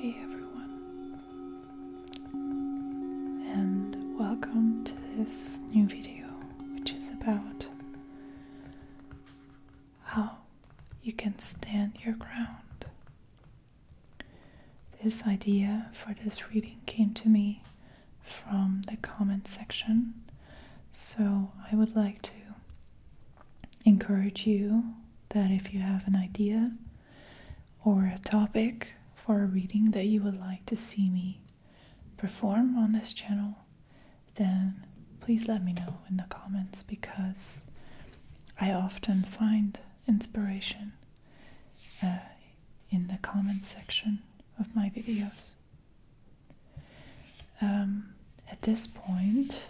Hey everyone, and welcome to this new video, which is about how you can stand your ground this idea for this reading came to me from the comment section, so I would like to encourage you that if you have an idea or a topic for a reading that you would like to see me perform on this channel, then please let me know in the comments because I often find inspiration uh, in the comment section of my videos. Um, at this point,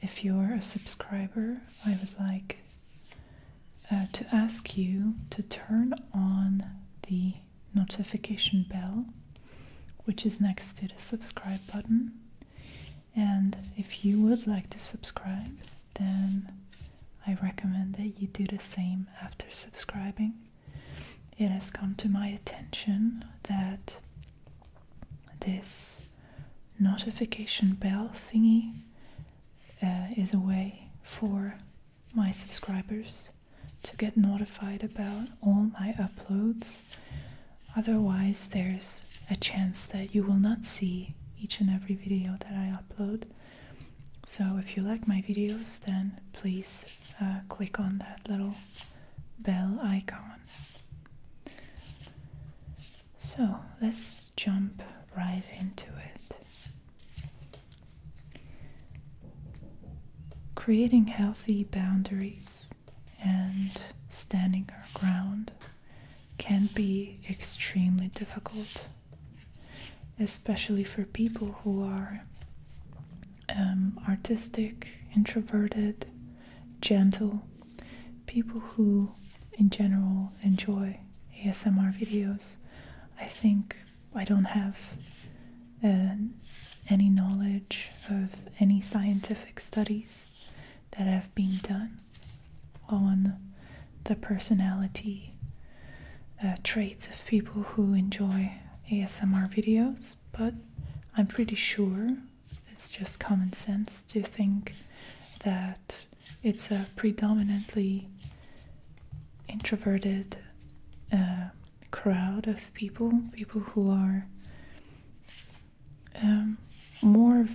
if you're a subscriber, I would like uh, to ask you to turn on the notification bell, which is next to the subscribe button, and if you would like to subscribe, then I recommend that you do the same after subscribing. It has come to my attention that this notification bell thingy uh, is a way for my subscribers to get notified about all my uploads Otherwise, there's a chance that you will not see each and every video that I upload. So, if you like my videos, then please uh, click on that little bell icon. So, let's jump right into it. Creating healthy boundaries and standing our ground can be extremely difficult, especially for people who are um, artistic, introverted, gentle, people who in general enjoy ASMR videos. I think I don't have uh, any knowledge of any scientific studies that have been done on the personality uh, traits of people who enjoy ASMR videos, but I'm pretty sure it's just common sense to think that it's a predominantly introverted uh, crowd of people, people who are um, more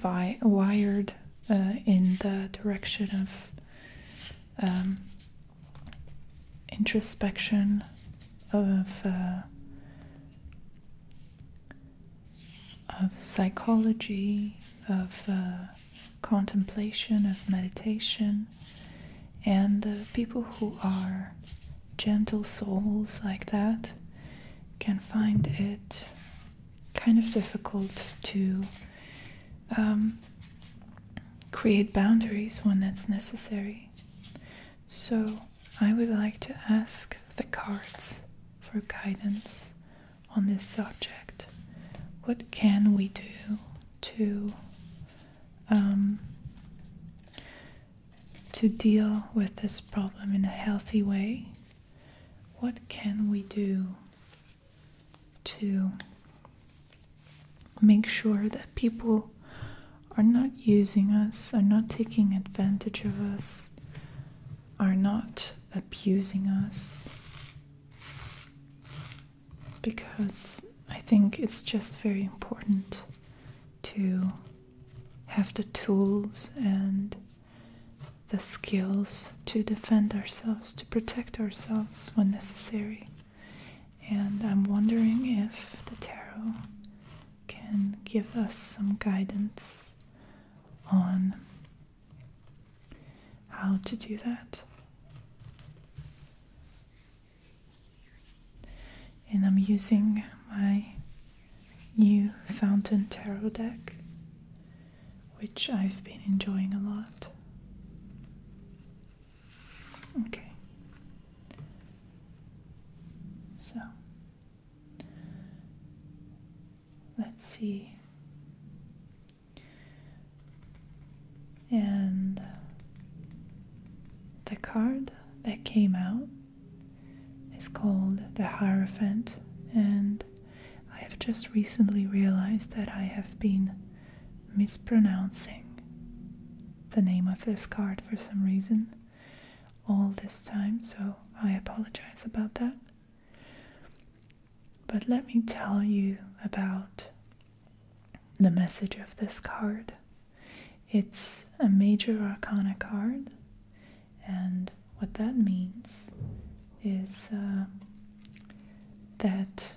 wired uh, in the direction of um, introspection of uh, of psychology of uh, contemplation of meditation and uh, people who are gentle souls like that can find it kind of difficult to um, create boundaries when that's necessary. So, I would like to ask the cards for guidance on this subject. What can we do to um, to deal with this problem in a healthy way what can we do to make sure that people are not using us, are not taking advantage of us, are not abusing us? Because I think it's just very important to have the tools and the skills to defend ourselves, to protect ourselves when necessary. And I'm wondering if the tarot can give us some guidance on how to do that. And I'm using my new Fountain Tarot deck, which I've been enjoying a lot. Okay. So, let's see. And the card that came out is called the Hierophant, and I have just recently realized that I have been mispronouncing the name of this card for some reason all this time, so I apologize about that. But let me tell you about the message of this card. It's a major arcana card and what that means is uh, that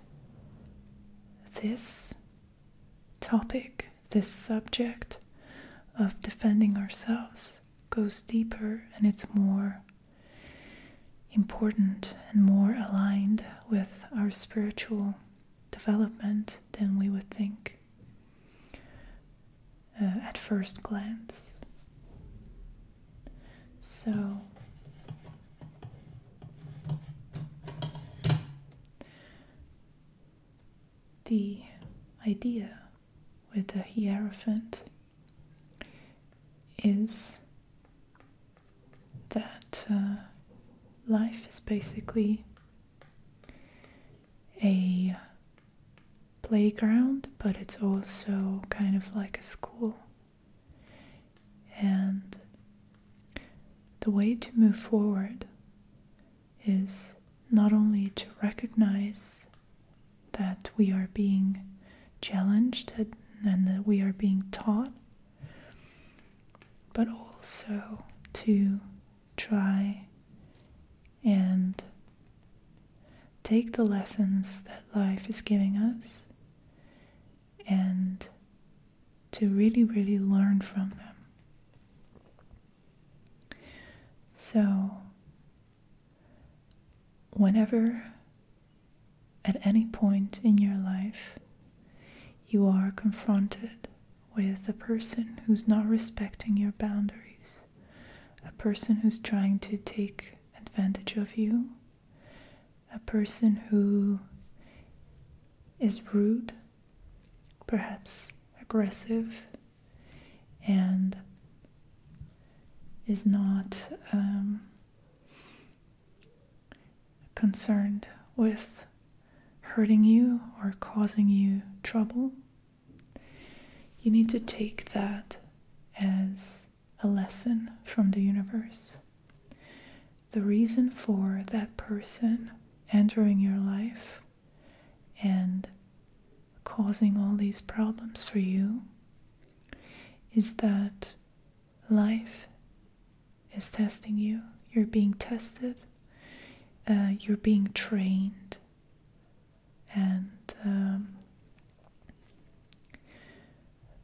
this topic, this subject of defending ourselves, goes deeper and it's more important and more aligned with our spiritual development than we would think. Uh, at first glance. So, the idea with the Hierophant is that uh, life is basically a playground, but it's also kind of like a school. And the way to move forward is not only to recognize that we are being challenged and that we are being taught, but also to try and take the lessons that life is giving us and to really, really learn from them. So, whenever at any point in your life you are confronted with a person who's not respecting your boundaries, a person who's trying to take advantage of you, a person who is rude, perhaps aggressive, and is not um, concerned with hurting you or causing you trouble. You need to take that as a lesson from the universe. The reason for that person entering your life and causing all these problems for you is that life is testing you. You're being tested, uh, you're being trained and um,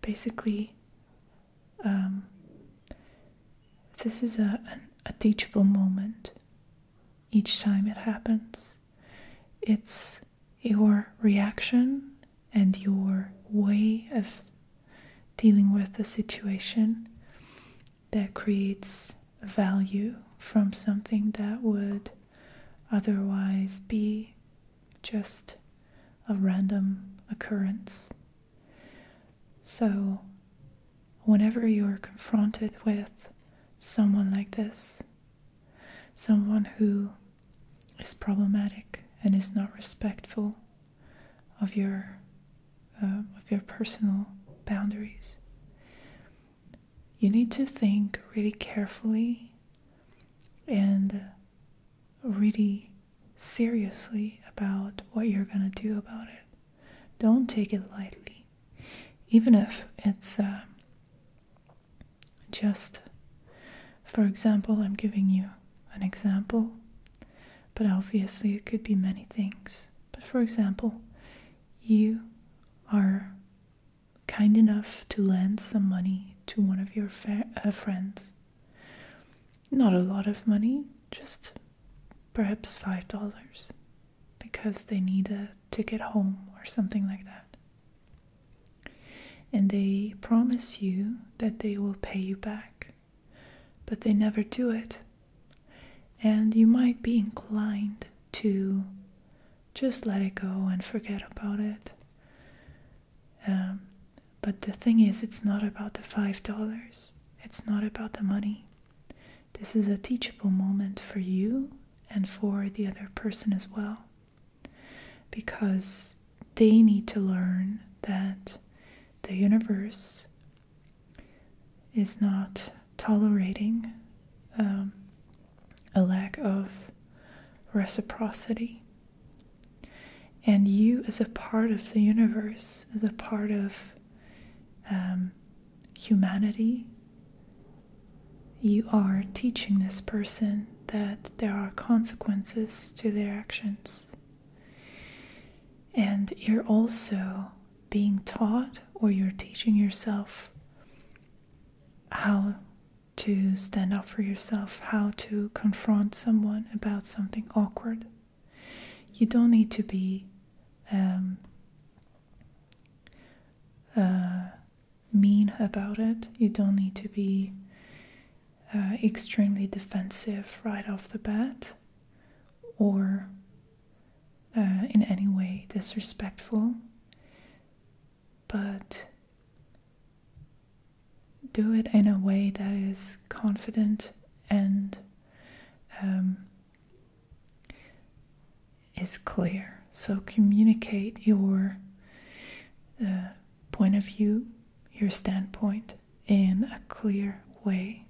basically um, this is a teachable moment each time it happens it's your reaction and your way of dealing with the situation that creates value from something that would otherwise be just a random occurrence. So, whenever you're confronted with someone like this, someone who is problematic and is not respectful of your uh, of your personal boundaries, you need to think really carefully and really seriously about what you're going to do about it. Don't take it lightly. Even if it's uh, just, for example, I'm giving you an example, but obviously it could be many things. But for example, you are kind enough to lend some money to one of your uh, friends. Not a lot of money, just perhaps five dollars, because they need a ticket home or something like that. And they promise you that they will pay you back, but they never do it. And you might be inclined to just let it go and forget about it. Um, but the thing is, it's not about the $5, it's not about the money. This is a teachable moment for you and for the other person as well. Because they need to learn that the universe is not tolerating um, a lack of reciprocity. And you, as a part of the universe, as a part of um, humanity, you are teaching this person that there are consequences to their actions. And you're also being taught, or you're teaching yourself, how to stand up for yourself, how to confront someone about something awkward. You don't need to be um, uh, mean about it, you don't need to be uh, extremely defensive right off the bat or uh, in any way disrespectful but do it in a way that is confident and um, is clear. So communicate your uh, point of view, your standpoint in a clear way.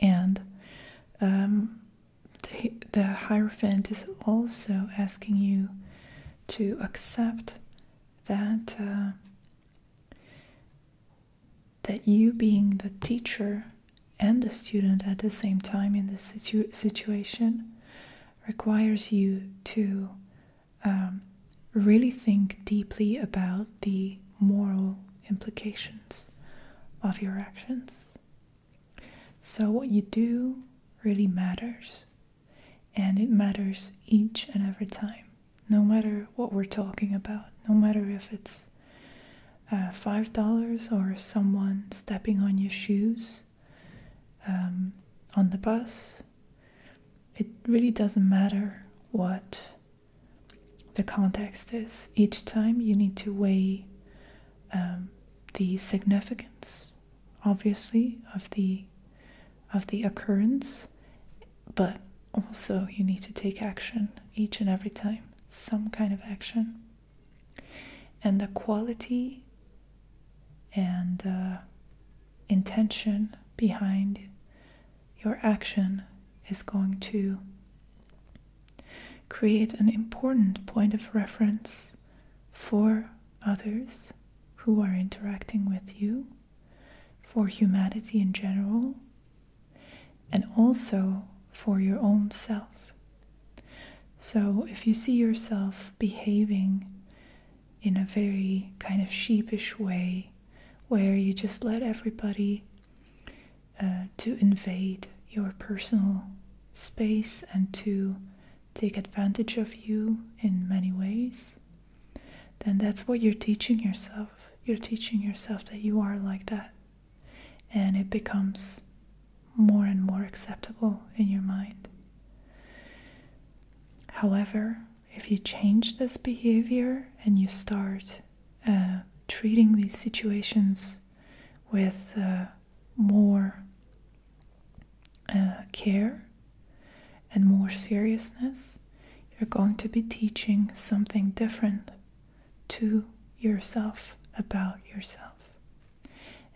And um, the, the Hierophant is also asking you to accept that uh, that you being the teacher and the student at the same time in this situation requires you to um, really think deeply about the moral implications of your actions so, what you do really matters, and it matters each and every time, no matter what we're talking about, no matter if it's uh, $5 or someone stepping on your shoes um, on the bus. It really doesn't matter what the context is. Each time you need to weigh um, the significance, obviously, of the of the occurrence, but also you need to take action each and every time, some kind of action, and the quality and uh, intention behind your action is going to create an important point of reference for others who are interacting with you, for humanity in general, and also for your own self. So if you see yourself behaving in a very kind of sheepish way, where you just let everybody uh, to invade your personal space and to take advantage of you in many ways, then that's what you're teaching yourself. You're teaching yourself that you are like that. And it becomes more and more acceptable in your mind. However, if you change this behavior and you start uh, treating these situations with uh, more uh, care and more seriousness, you're going to be teaching something different to yourself about yourself.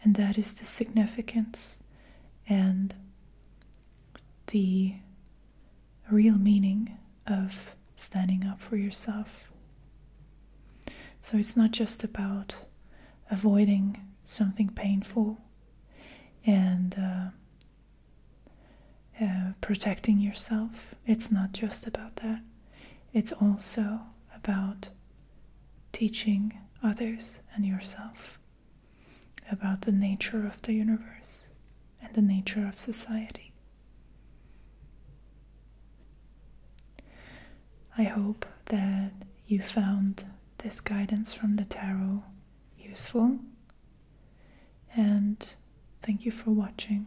And that is the significance and the real meaning of standing up for yourself. So it's not just about avoiding something painful and uh, uh, protecting yourself. It's not just about that. It's also about teaching others and yourself about the nature of the universe and the nature of society. I hope that you found this guidance from the tarot useful. And thank you for watching.